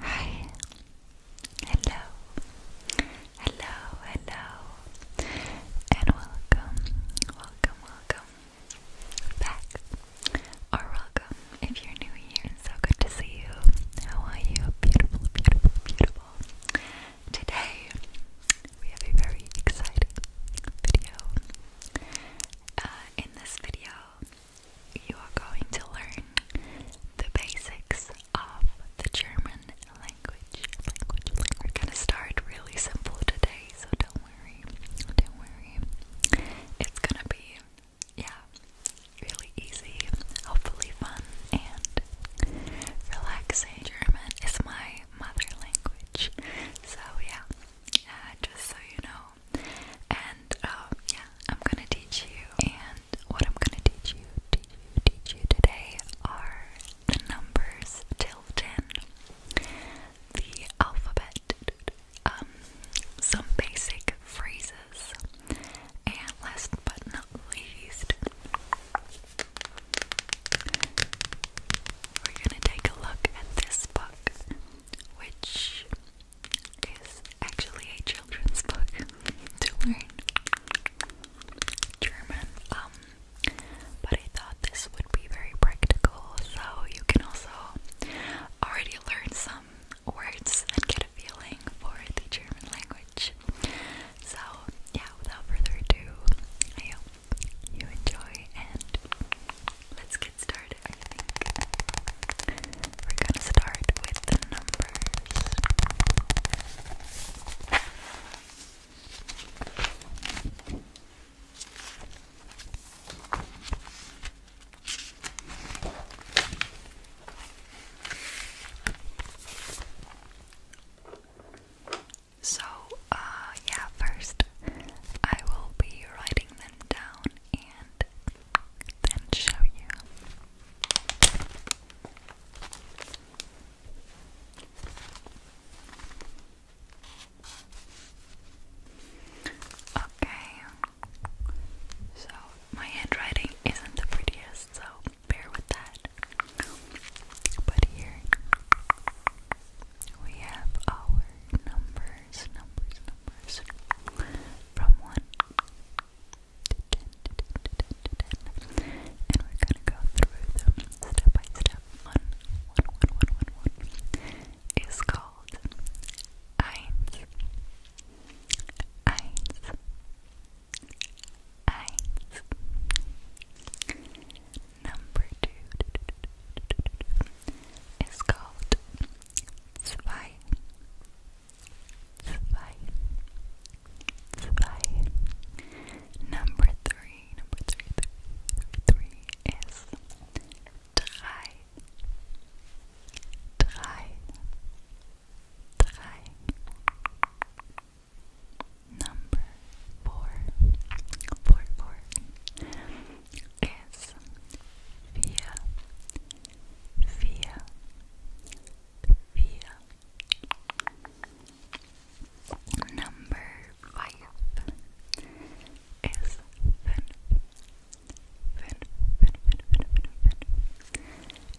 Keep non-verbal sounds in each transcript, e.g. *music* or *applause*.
Hi. Hello. Hello, hello. And welcome, welcome, welcome back. Or welcome if you're new here. So good to see you. How are you? Beautiful, beautiful, beautiful. Today we have a very exciting video. Uh, in this video, you are going to learn the basics of the German language. We're gonna start really simple today, so don't worry. Don't worry. It's gonna be, yeah, really easy, hopefully fun and relaxing. German is my mother language, so yeah. Uh, just so you know, and oh, yeah, I'm gonna teach you. And what I'm gonna teach you, teach you, teach you today are the numbers till ten, the alphabet, um, some basic phrases, and last but not least, we're gonna take a look at this book which is actually a children's book *laughs* to learn German. Um, but I thought this would be very practical, so you can also already learn some words and get a feeling for the German language. So, yeah, without further ado, I hope you enjoy and let's get started. we're gonna start with the numbers. So, uh, yeah, first I will be writing them down and then show you. Okay, so my handwriting isn't the prettiest, so bear with that. But here we have our numbers, numbers, numbers from 1 to 10, and we're gonna go through them step by step. 1, is called eins, eins, eins. Number two is called zwei, Number three, number three, three, three, three is drei, Number four, four, four es Number five is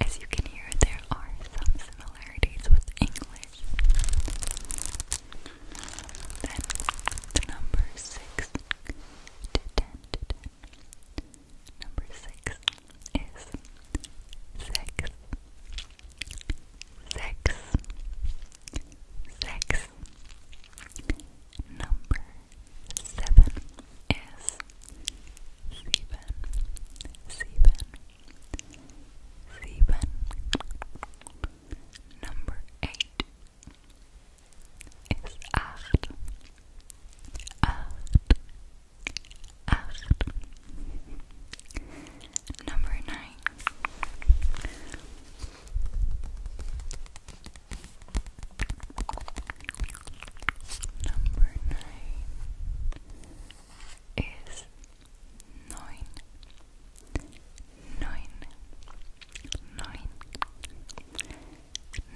As you can hear, there are some similarities with English. Then the number six to ten to ten. Number six is sex. Sex. Sex. Number seven is seven. Seven. Seven. Number eight ist acht. Acht. Acht. Number nine. Number nine is nine. Nine. Nine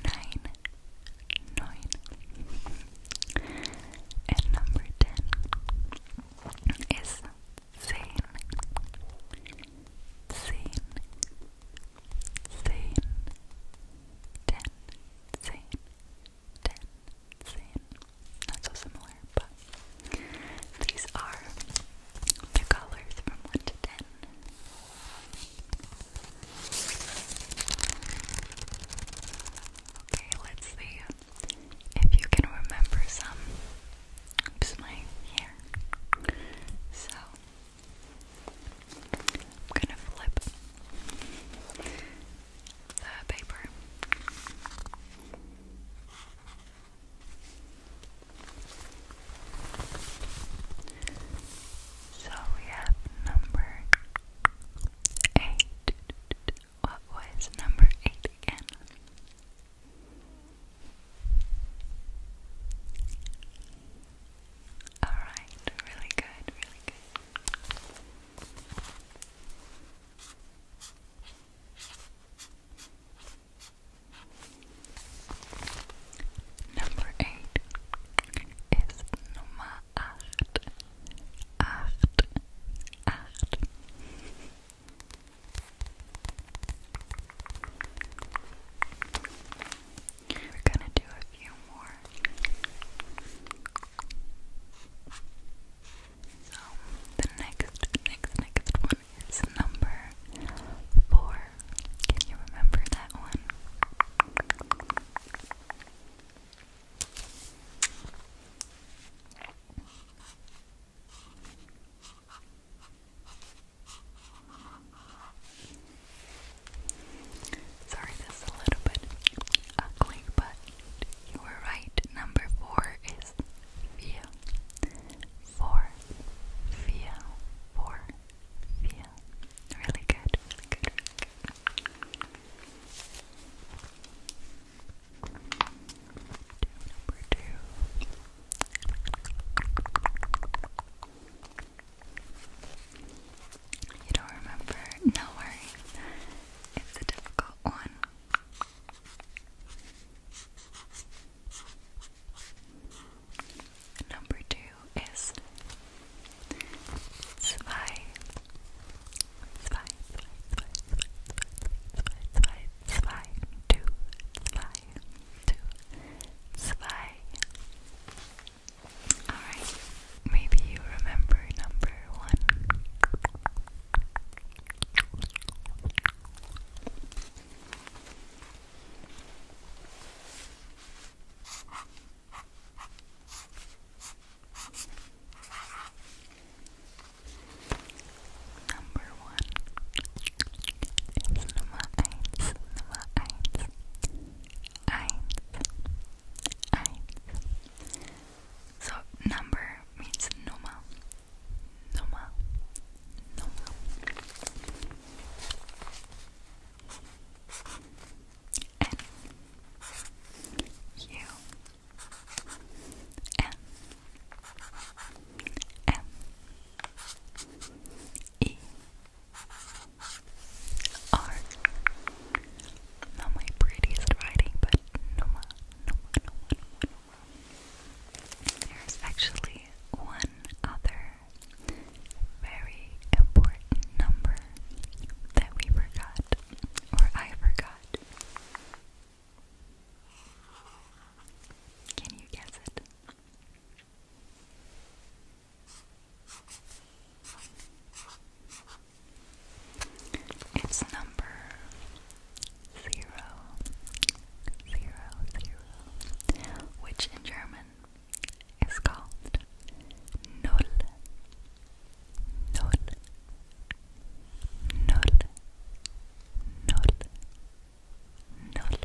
nine, nine. And number ten is Zane. Not so similar, but these are the colors from 1 to 10. Okay, let's see if you can remember some. Oops, my hair. So, I'm gonna flip the paper. So we have number eight. What was number eight again? Alright, really good, really good. Number eight ist Nummer acht, We're gonna do a few more. So the next, next, next one is number four, can you remember that one? Sorry, this is a little bit ugly, but you were right. Number four is Via. Four, Via, four, Via. Really good, really good, two. You don't remember? No worries. It's a difficult one. Number two is zwei. Zwei, zwei, zwei, zwei, zwei, two, zwei, two, zwei. Alright, maybe you remember number one. Number one ist Nummer eins, Nummer eins, eins, So number means Nummer, Nummer, Nummer. N U N M E R Not my prettiest writing, but no more, no more, no more, no more, no more. There's actually one other very important number that we forgot, or I forgot. Can you guess it? It's number zero, zero, zero, which in German it's called null. Null. Null. Null. Null.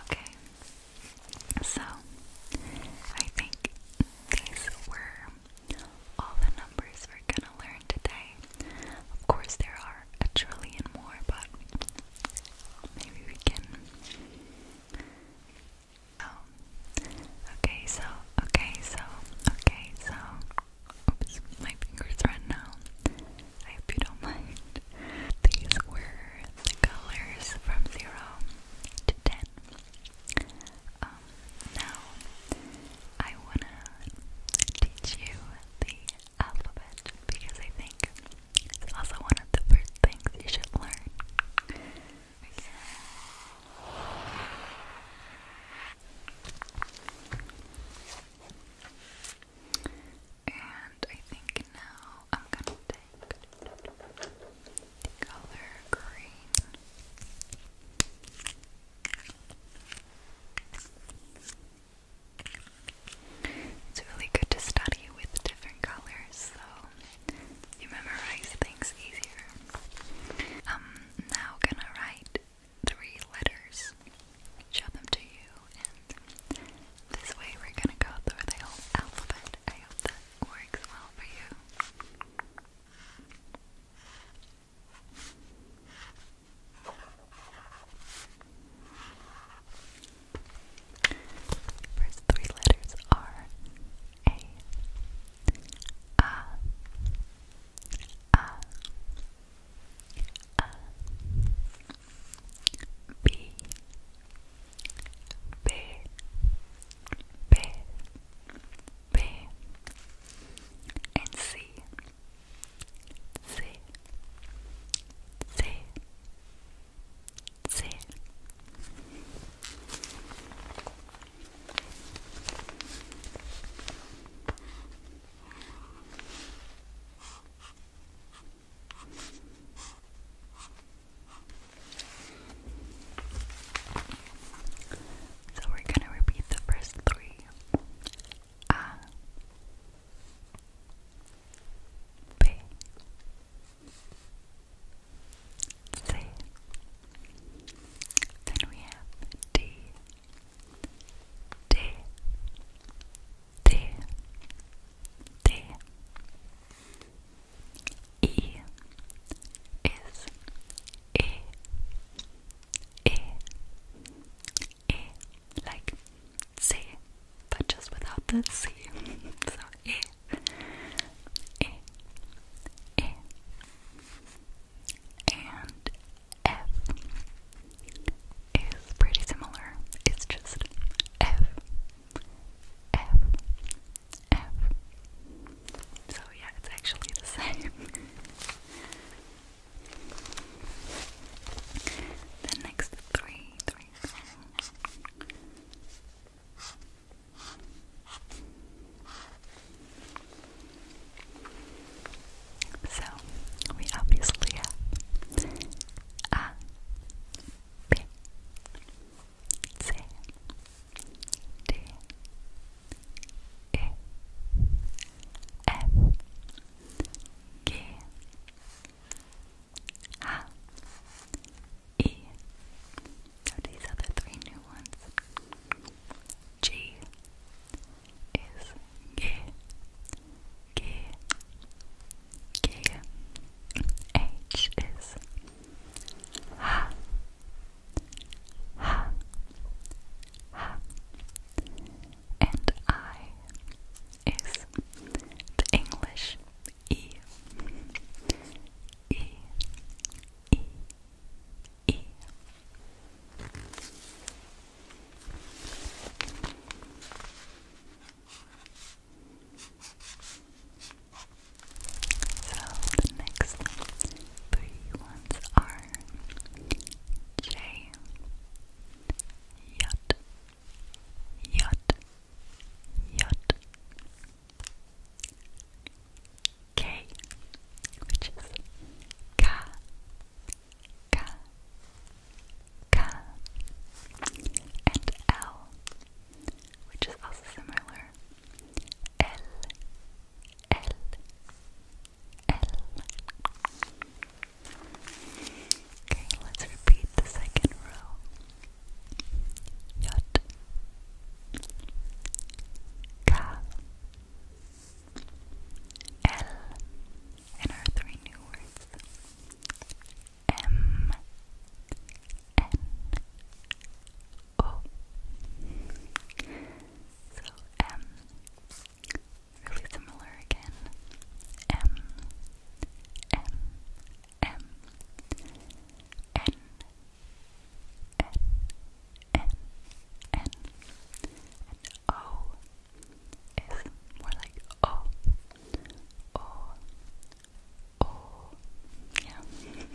Okay. So I think these were all the numbers we're gonna learn today. Of course there are a trillion more, but maybe we can Oh. Okay, so, okay, so, okay, so. Oops, my fingers are now. I hope you don't *laughs* mind. These were the colors from 0 to 10. Um, now, I wanna teach you the alphabet because I think it's also one of the first things you should learn. And I think now I'm gonna take the color green. It's really good to study with different colors, so you memorize things easier. i um, now gonna write three letters, show them to you, this way we're gonna go through the whole alphabet. I hope that works well for you. First three letters are A, A, A, A, B, B, B, B, and C, C, C, that's it. So we're going to repeat the first three. A B C. Then we have D, D, D, D. E like C but just without the C. *laughs* so E, eh, E, eh, E, eh, and F is pretty similar. It's just F, F, F. So yeah, it's actually the same. *laughs* The next three, so we obviously have A, B, C, D, E, F, G, H, E are these three new ones. G is G, G, G. H is H, H, H. And I is the English E E So the next three ones are J Yut Yut J K which is K K K and L which is also similar L L L Okay, let's repeat the second row. J K L and our three new words M N O So M really similar again M M M N N N N and O is more like O O O yeah. Yacht,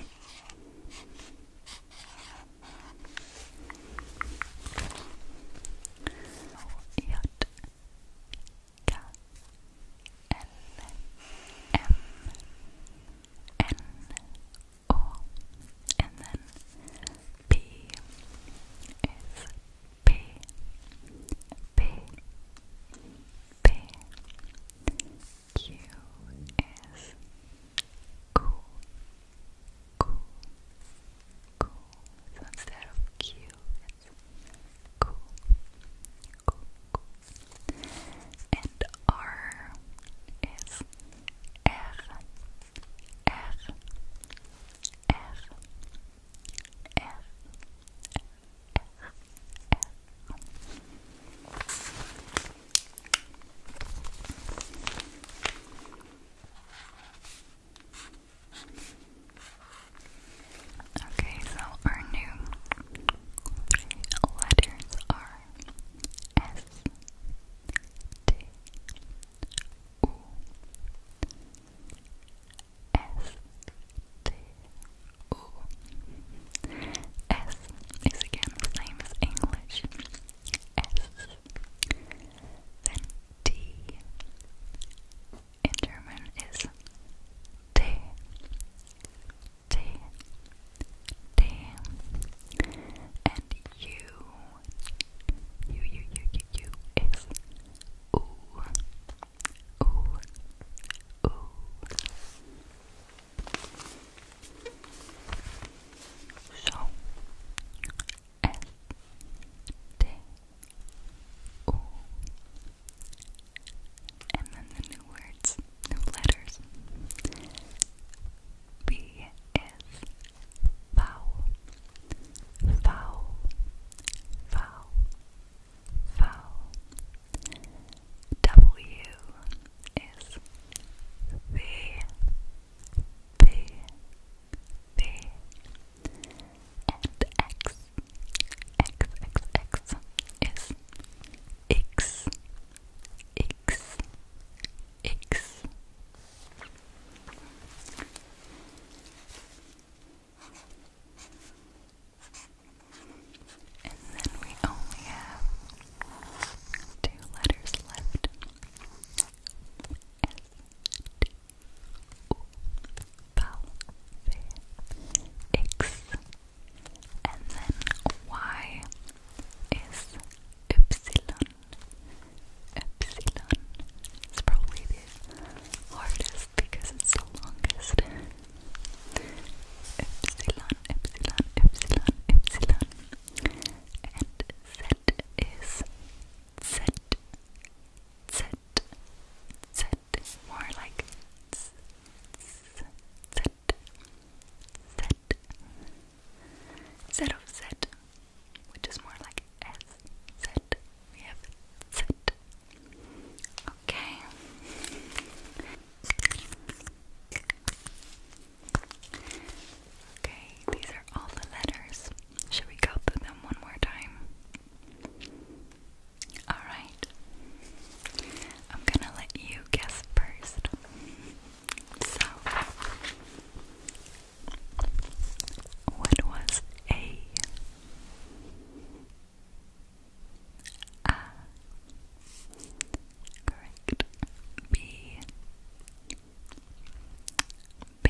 K L M N O and then P so instead of Q it's Q Cool, cool, and R is R, R, R, R, R, R. Okay, so our new letters are S, T, U, S, T, U. S is again the same as English. S, then T in German is T. T, T, and U, U, U, U, U, is ooh, ooh, ooh. So, S, T, and then the new words no letters. B is vowel, vowel, vowel, vowel. W is V, V, V. And X, X, X, X is X X X and then we only have two letters left. S T O X and then y is epsilon. Epsilon is probably the hardest because it's the longest. Epsilon, epsilon, epsilon, epsilon. And z is z, z, z. More like z, z, z set, set of set, which is more like S set. We have set. Okay. Okay, these are all the letters. Should we go them one more time? Alright. I'm gonna let you guess first. So, what was A? A. Correct. B. B.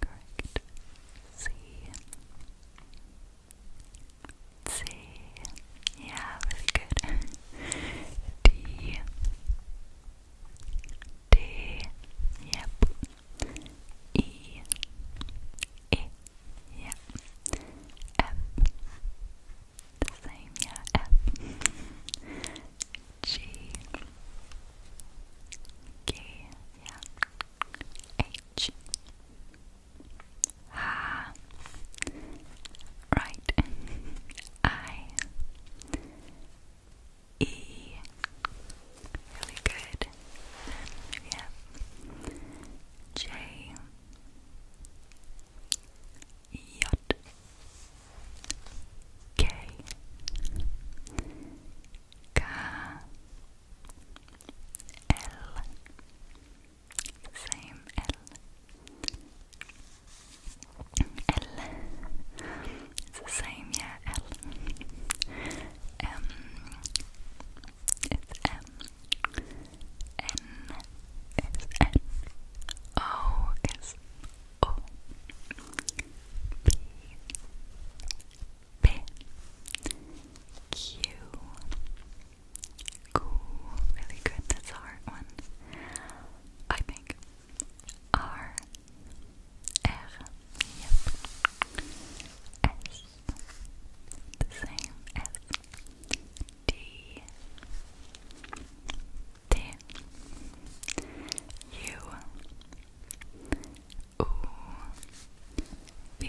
Correct. C. C. Yeah, really good. *laughs* D. D. Yep. E. E. Yep. F. The same, yeah. F. G. G. Yeah. H ha *sighs* right *laughs* I E really good then we have J Yacht K K L same L L it's the same yeah L M it's M N is N O is O P P Q Cool, really good. That's hard one. I think. R. The same. S. D. D. U. U. B.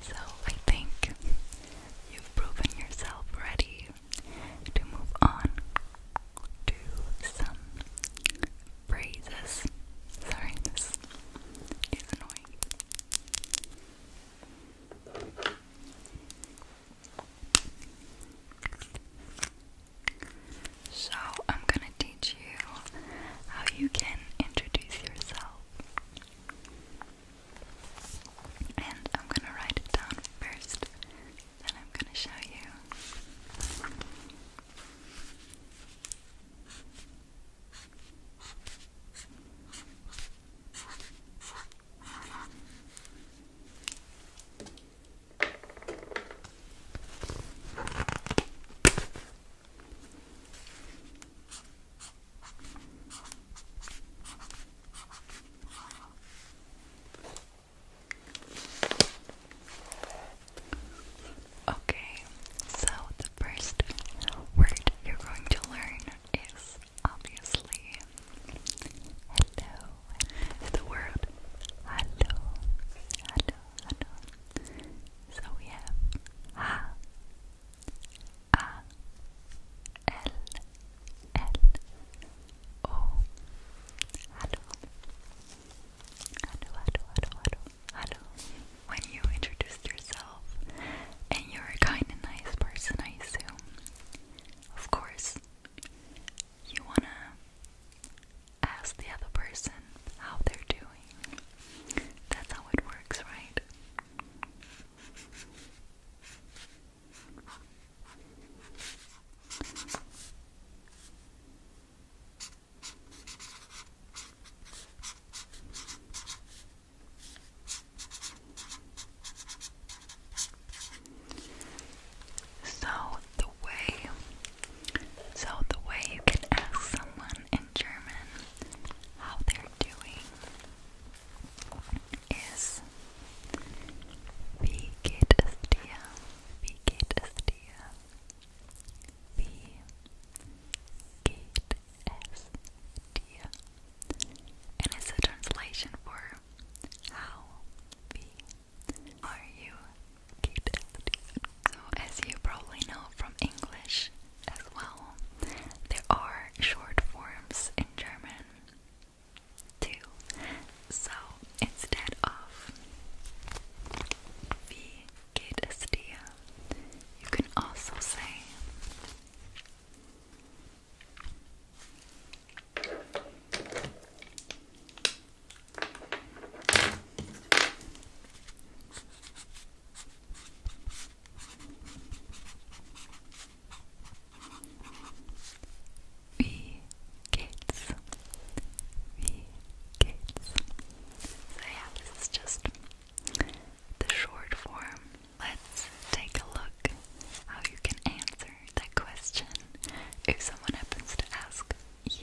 So I think you've proven yourself ready to move on to some phrases. Sorry, this is annoying. So, I'm gonna teach you how you can introduce yourself. And I'm gonna write it down first, then I'm gonna show you. Okay, so the first word you're going to learn is obviously hello is the word hello. Hello, hello. So we have ha, Hello, hello, hello, hello, hello. When you introduced yourself, and you're a kind and nice person, I assume. Of course, you wanna ask the other person how they're doing. That's how it works, right? So the way so the way you can ask someone in German how they're doing is Wie geht es dir? Wie geht es dir? Wie geht es dir? And it's a translation for how, are you cute? So, as you probably know from English as well, there are short forms in German too. So, instead of wie geht you can also say Wie geht's? Wie geht's? So yeah, this is just the short form. Let's take a look how you can answer that question if someone happens to ask you.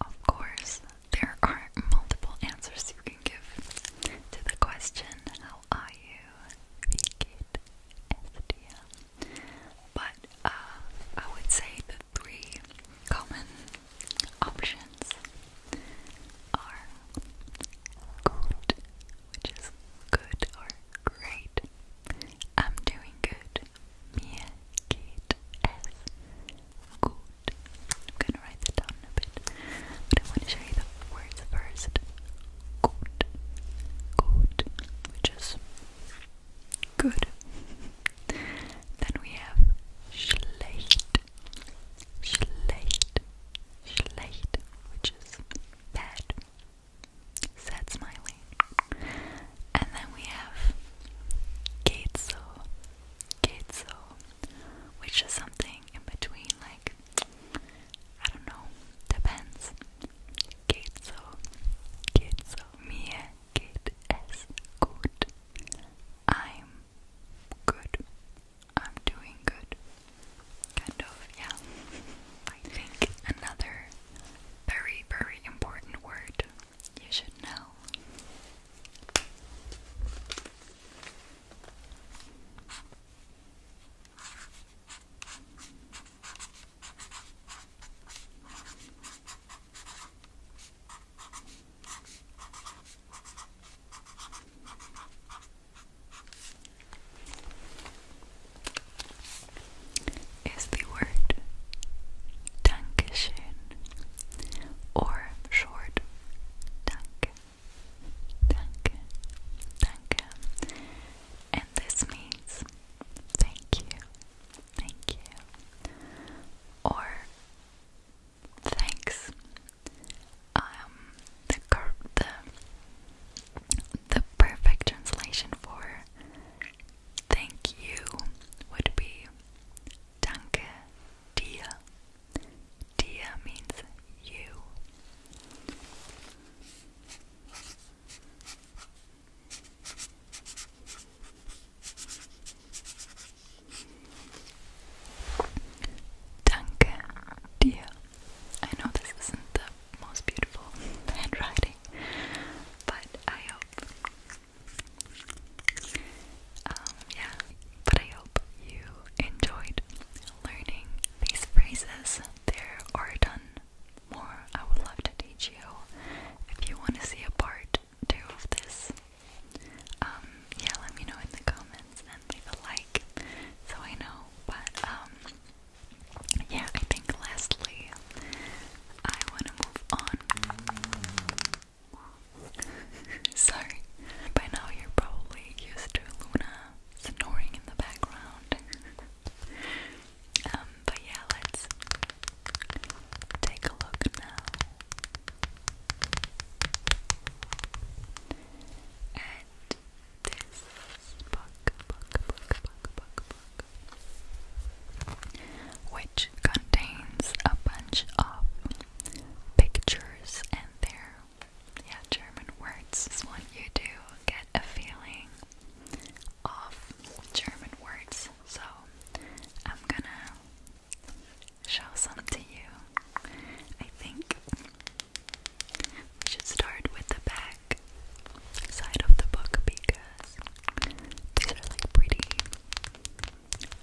Of course, there are multiple answers you can give to the question, How are you? But uh, I would say the three common options are good, which is good or great. I'm doing good. Mir geht es I'm gonna write that down a bit, but I want to show you the words first good, good, which is good. then we have schlecht, schlecht, schlecht, which is bad, sad smiley. And then we have Gateso, Gateso, which is something in between, like I don't know, depends. Geht so, geht so, mir geht I'm good. I'm doing good. Kind of, yeah. *laughs* I think another very, very important word you should know is the word Dankeschön or short Danke, Danke, Danke and this means thank you, thank you, or thanks. Um, the perfect translation for thank you would be danke dir. Dir means you. Danke dir. I know this isn't the most beautiful handwriting, but I hope. Um, yeah, but I hope you enjoyed learning these phrases. There are a more I would love to teach you if you want to see a part two of this. Um, yeah, let me know in the comments and leave a like so I know. But um, yeah, I think lastly I wanna move on. *laughs* Sorry. By now you're probably used to Luna snoring in the background. *laughs* Um, but yeah, let's take a look now at this book, book, book, book, book, book, which contains a bunch of pictures and their yeah German words. This you do get a feeling of German words, so I'm gonna show some to you. I think we should start with the back side of the book because these are like pretty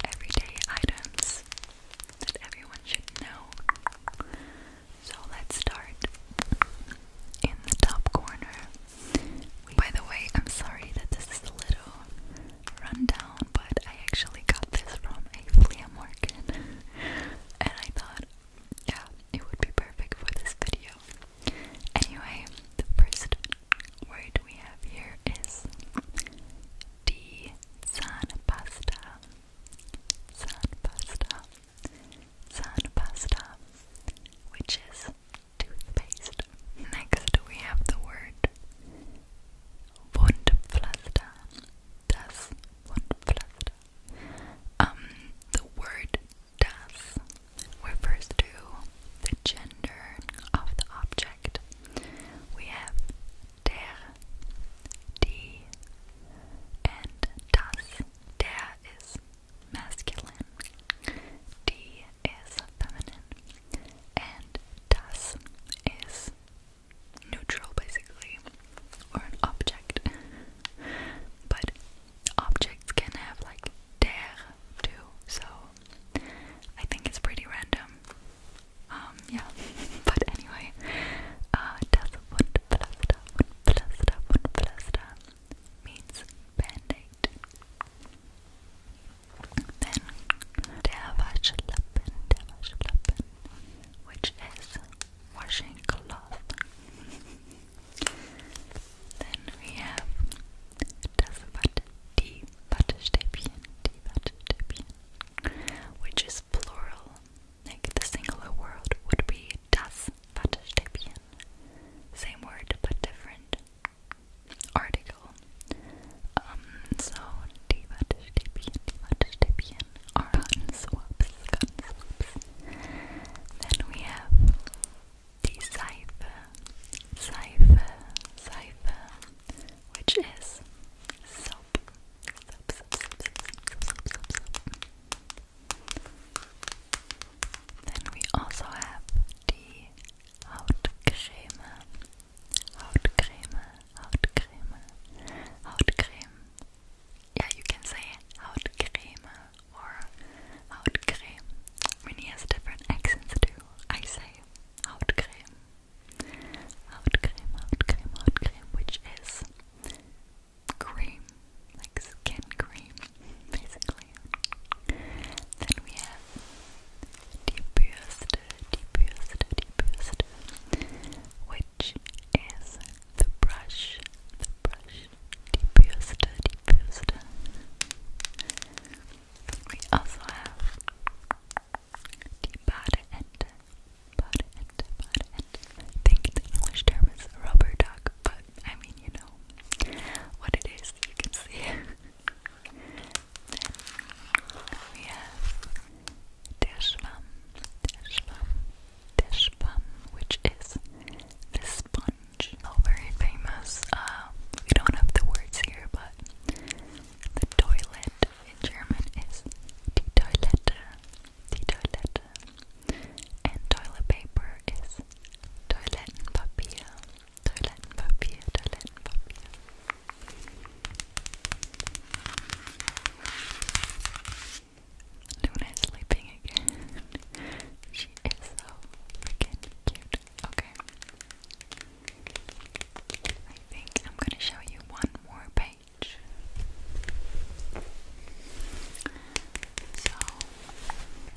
everyday items that everyone should know. So let's start in the top corner. By the way, I'm sorry that this is a little rundown, but I actually got this from a flea market, and I thought, yeah, it would be perfect for this video. Anyway, the first word we have here is di pasta. Sandpasta, which is toothpaste. Next, we have the word Wundpflaster. Das Wundpflaster. Um, the word das refers to the gender of the object. We have der, die, and das. Der is masculine, D is feminine, and das is neutral basically, or an object. but objects can have like der too, so I think it's pretty random. Um, yeah, *laughs* but anyway, uh, das und Pflaster und Pflaster und Pflaster means band-aid. Then Derwaschlappen, Derwaschlappen, which is washing cloth. then we have das Watte, die Wattestäbchen, die Wattestäbchen, which is plural. Like the singular word would be das Wattestäbchen. Same word but different article. Um, so die Wattestäbchen, die Wattestäbchen swaps, gun swaps. Then we have the Seife, Seife, Seife, which is soap. Soap, soap, soap, soap, soap, soap, then we also have die Hautcreme, Hautcreme, Hautcreme, Hautcreme. Yeah, you can say Hautcreme or Hautcreme. I mean, he has different accents too. I say Hautcreme, Hautcreme, Hautcreme, Hautcreme, which is cream, like skin cream, basically. Then we have Deepest, Deepest, Deepest, which is the brush, the brush, Deepest, Deepest. We also have the Badeente, Badeente, Badeente. I think the English term is rubber duck, but I mean, you know what it is, you can see. *laughs* then we have Deshvam, Deshvam, Deshvam, which is the sponge. All very famous. Uh, we don't have the words here, but the toilet in German is die Toilette, die Toilette and toilet paper is Toilettenpapier, Toilettenpapier, Toilettenpapier. Luna is sleeping again. *laughs* she is so freaking cute. Okay. I think I'm gonna show you one more page. So,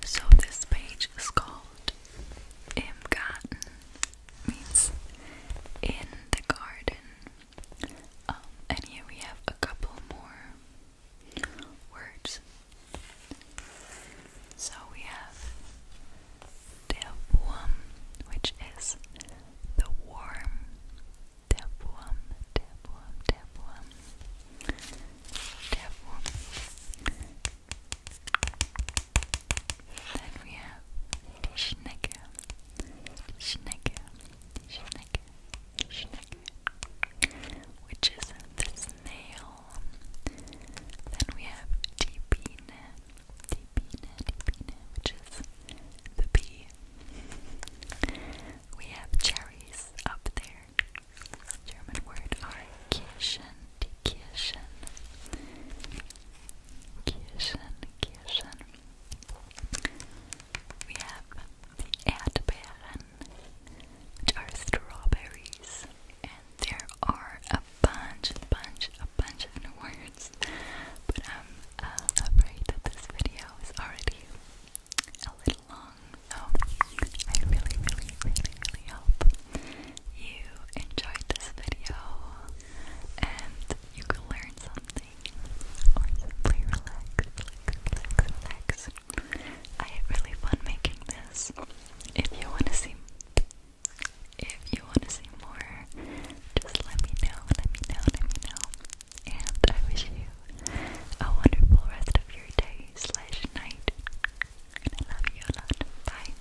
so this page is called Im Garten, means in the garden. Um, and here we have a couple more words. So we have der Wurm, which is the warm. Der Wurm, der Wurm, der Wurm. Then we have die Schnecke, die Schnecke, die which is the snail. Then we have die Biene, die Biene, die which is the bee. We have cherries up there. German word are Kirschen, die Kirschen. Kirschen, Kirschen. We have the Erdbeeren, which are strawberries. And there are a bunch, a bunch, a bunch of new words. But I'm uh, afraid that this video is already a little long along. I really, really, really, really hope you enjoyed this video and you could learn something or relax, relax, relax. I had really fun making this. If you want to see if you want to see more, just let me know, let me know, let me know. And I wish you a wonderful rest of your day slash night. And I love you a lot. Bye.